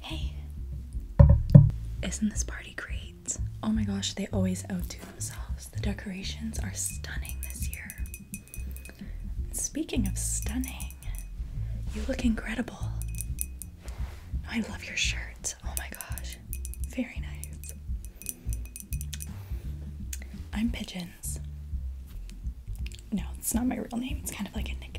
Hey, isn't this party great? Oh my gosh, they always outdo themselves. The decorations are stunning this year. Speaking of stunning, you look incredible. I love your shirt. Oh my gosh, very nice. I'm Pigeons. No, it's not my real name, it's kind of like a nickname.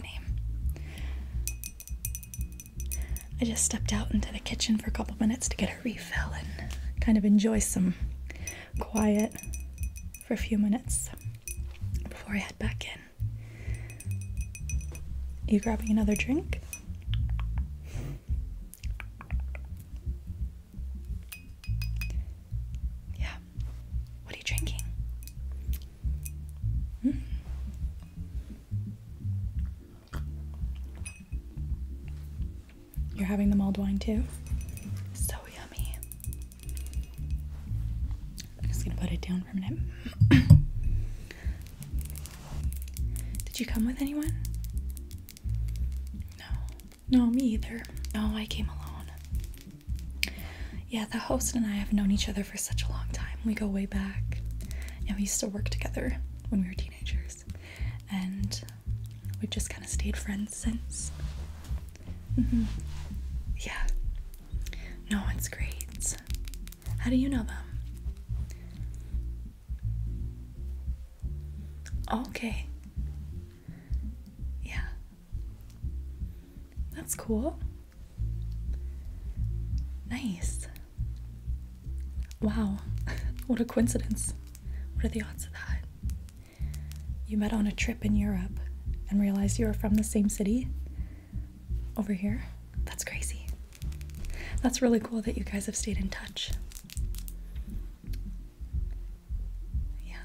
I just stepped out into the kitchen for a couple minutes to get a refill and kind of enjoy some quiet for a few minutes before I head back in. You grabbing another drink? Yeah. What are you drinking? Mm. You're having the mulled wine too? So yummy. I'm just gonna put it down for a minute. Did you come with anyone? No. No, me either. No, I came alone yeah, the host and I have known each other for such a long time. We go way back. And we used to work together when we were teenagers. And we've just kind of stayed friends since. Mm-hmm. Yeah. No, it's great. How do you know them? Okay. Yeah. That's cool. Nice. Wow, what a coincidence. What are the odds of that? You met on a trip in Europe and realized you were from the same city over here? That's crazy. That's really cool that you guys have stayed in touch. Yeah.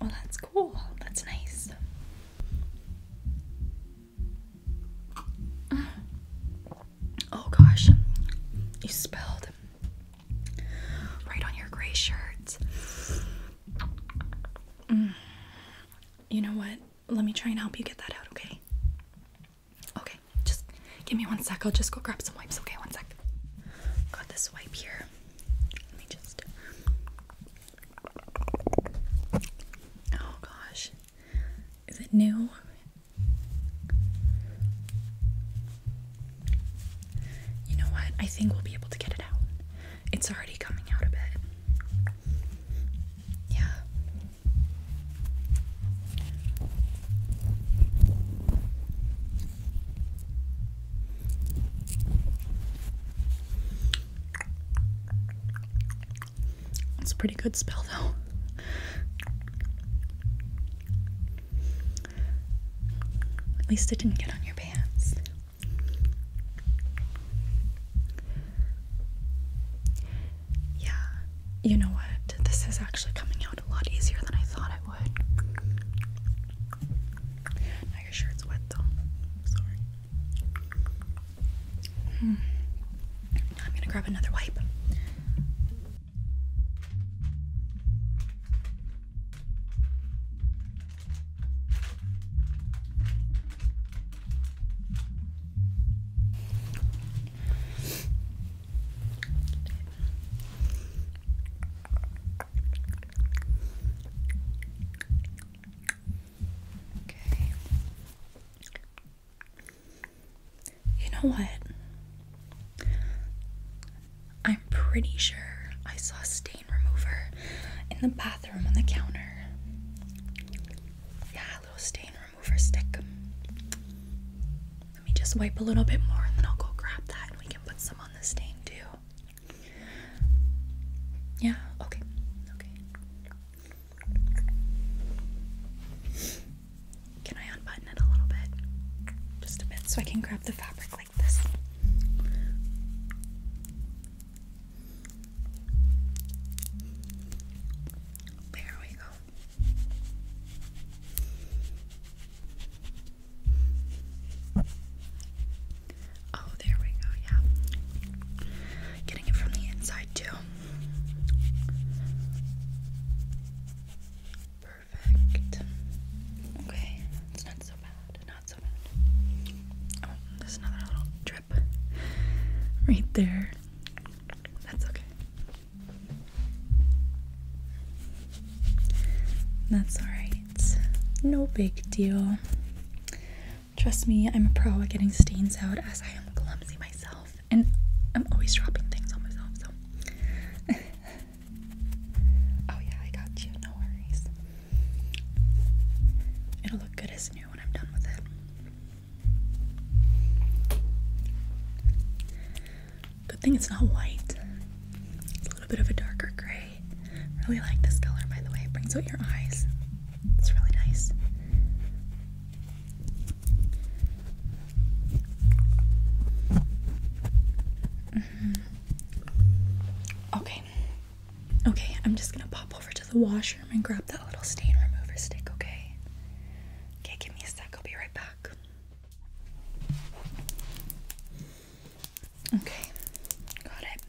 Well, that's cool. That's nice. Oh gosh, you spilled right on your gray shirt. Mm. You know what? Let me try and help you get that out, okay? Okay, just give me one sec. I'll just go grab some wipes, okay? One sec. Got this wipe here. Let me just Oh gosh. Is it new? You know what? I think we'll be able to get it out. It's already coming out a bit. Yeah. It's a pretty good spell, though. At least it didn't get on your pants. Yeah, you know what? This is actually coming out a lot easier than I thought it would your shirt's wet though. sorry. Hmm. I'm gonna grab another wipe. Okay. You know what? I'm pretty sure I saw stain remover in the bathroom on the counter. Yeah, a little stain remover stick. Let me just wipe a little bit more and then I'll go grab that and we can put some on the stain too. Yeah, okay. Okay. Can I unbutton it a little bit? Just a bit so I can grab the fabric like this. There we go. Oh, there we go, yeah. Getting it from the inside, too. Perfect. Okay, it's not so bad, not so bad. Oh, there's another little drip right there. That's okay. That's alright no big deal. Trust me, I'm a pro at getting stains out as I am clumsy myself. And I'm always dropping things on myself, so. oh, yeah, I got you. No worries. It'll look good as new when I'm done with it. Good thing it's not white, it's a little bit of a darker gray. Really like this color, by the way. It brings out your eyes. It's really nice. Mm-hmm. Okay. Okay, I'm just gonna pop over to the washroom and grab that little stain remover stick, okay? Okay, give me a sec, I'll be right back. Okay, got it.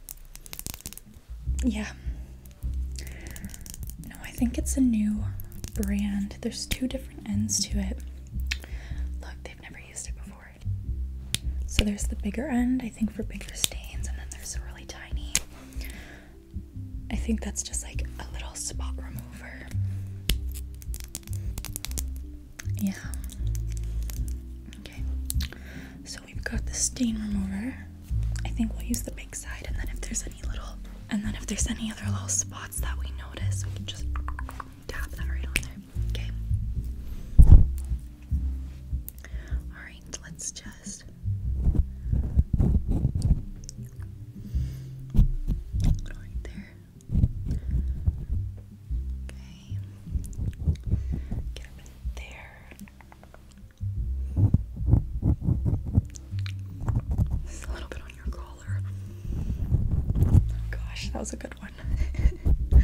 Yeah. No, I think it's a new brand. There's two different ends to it. Look, they've never used it before. So there's the bigger end, I think, for bigger stains, and then there's a really tiny. I think that's just like a little spot remover. Yeah. Okay. So we've got the stain remover. I think we'll use the big side, and then if there's any little, and then if there's any other little spots that we notice, we can just tap that right on there. Okay. All right. Let's just. Right there. Okay. Get up in there. a little bit on your collar. gosh, that was a good one. a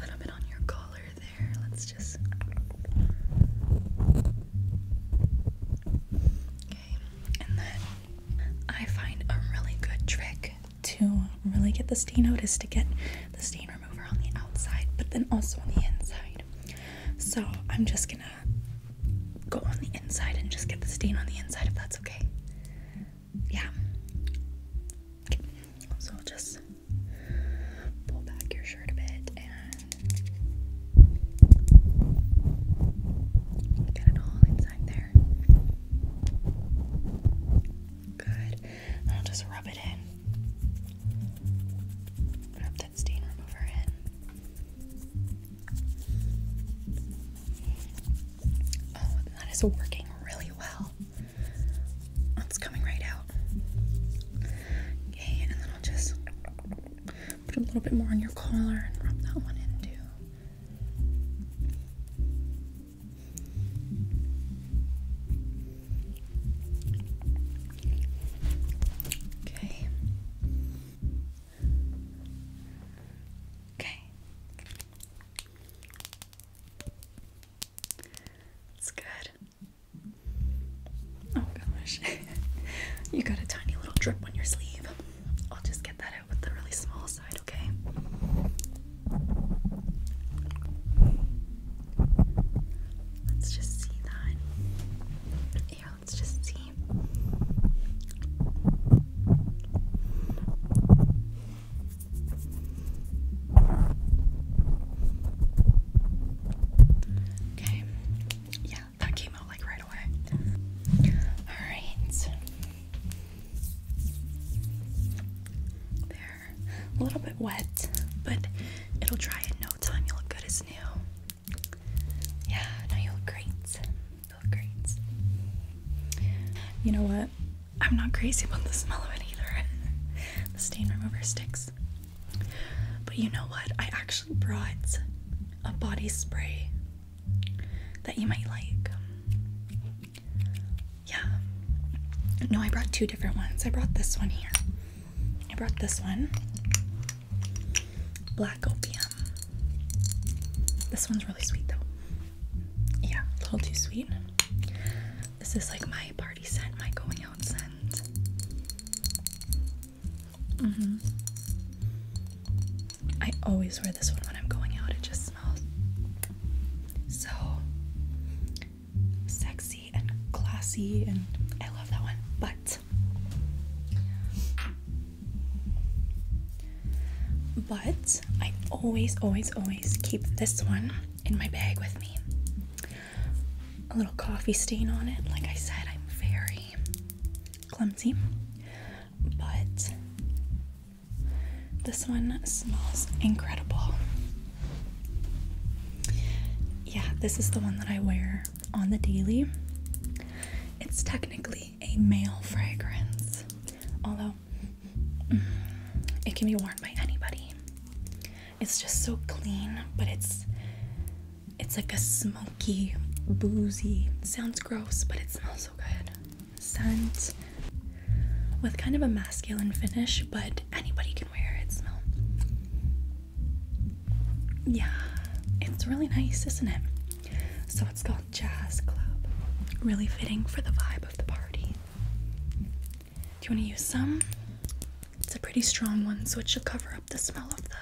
little bit on your collar there. Let's just. Okay, and then I find a really good trick to really get the stain out is to get the stain remover on the outside, but then also on the inside. So I'm just gonna go on the inside and just get the stain on the inside if that's okay. Yeah. Okay. So I'll just pull back your shirt a bit and get it all inside there. Good. I'll just rub it in. Rub that stain remover in. Oh, that is working really well. It's coming right out. Okay, and then I'll just put a little bit more on your collar and rub that one in Okay. Okay. It's good. Oh gosh. you got a tiny little drip on your sleeve. I'll just get that with the really small side, okay? Let's just see that. Here, let's just see. Okay. Yeah, that came out like right away. Alright they a little bit wet, but it'll dry in no time. You will look good as new. Yeah, no, you look great. You look great. You know what? I'm not crazy about the smell of it either. the stain remover sticks. But you know what? I actually brought a body spray that you might like. Yeah. No, I brought two different ones. I brought this one here. I brought this one. Black opium. This one's really sweet though. Yeah, a little too sweet. This is like my party scent, my going out scent. Mm-hmm. I always wear this one when I'm going out. It just smells so sexy and classy, and I love that one. But, but I always, always, always keep this one in my bag with me. A little coffee stain on it. Like I said, I'm very clumsy, but this one smells incredible. Yeah, this is the one that I wear on the daily. It's technically a male fragrance, although mm, it can be worn by anybody. It's just so clean, but it's it's like a smoky, boozy. sounds gross, but it smells so good scent with kind of a masculine finish, but anybody can wear it. Smell. Yeah, it's really nice, isn't it? So it's called Jazz Club. Really fitting for the vibe of the party. Do you want to use some? It's a pretty strong one, so it should cover up the smell of the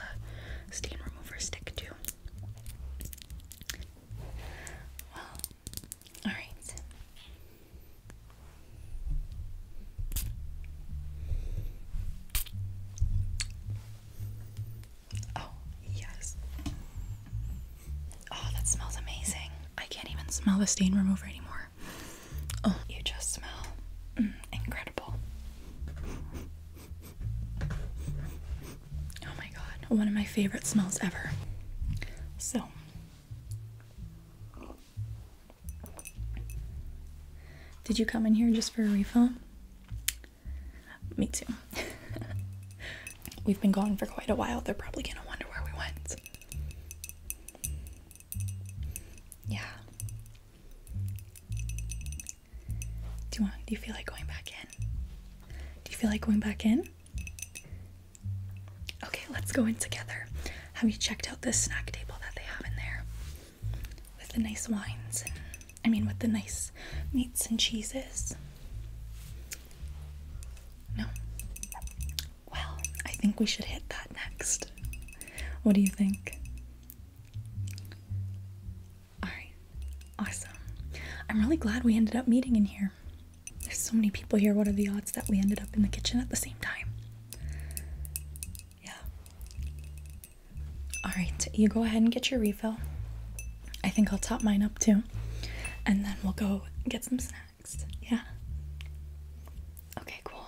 stain remover stick, too. All right. Oh, yes. Oh, that smells amazing. I can't even smell the stain remover anymore. Oh, you just smell mm, incredible. Oh my god, one of my favorite smells ever. So, did you come in here just for a refill? Me too. We've been gone for quite a while. They're probably gonna wonder where we went. Yeah. Do you want do you feel like going back in? Do you feel like going back in? Okay, let's go in together. Have you checked out this snack table that they have in there? With the nice wines I mean with the nice meats and cheeses. No. Well, I think we should hit that next. What do you think? Alright, awesome. I'm really glad we ended up meeting in here. There's so many people here. What are the odds that we ended up in the kitchen at the same time? Yeah. Alright, you go ahead and get your refill. I think I'll top mine up too. And then we'll go get some snacks. Yeah. Okay, cool.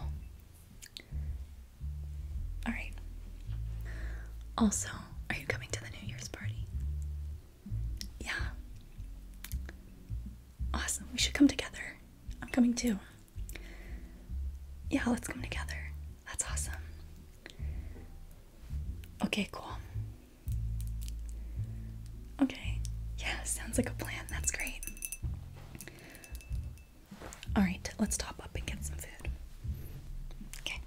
Alright. Also, are you coming to the New Year's party? Yeah. Awesome. We should come together. I'm coming too. Yeah, let's come together. That's awesome. Okay, cool. Okay. Yeah, sounds like a plan. That's great. All right, let's top up and get some food. Okay.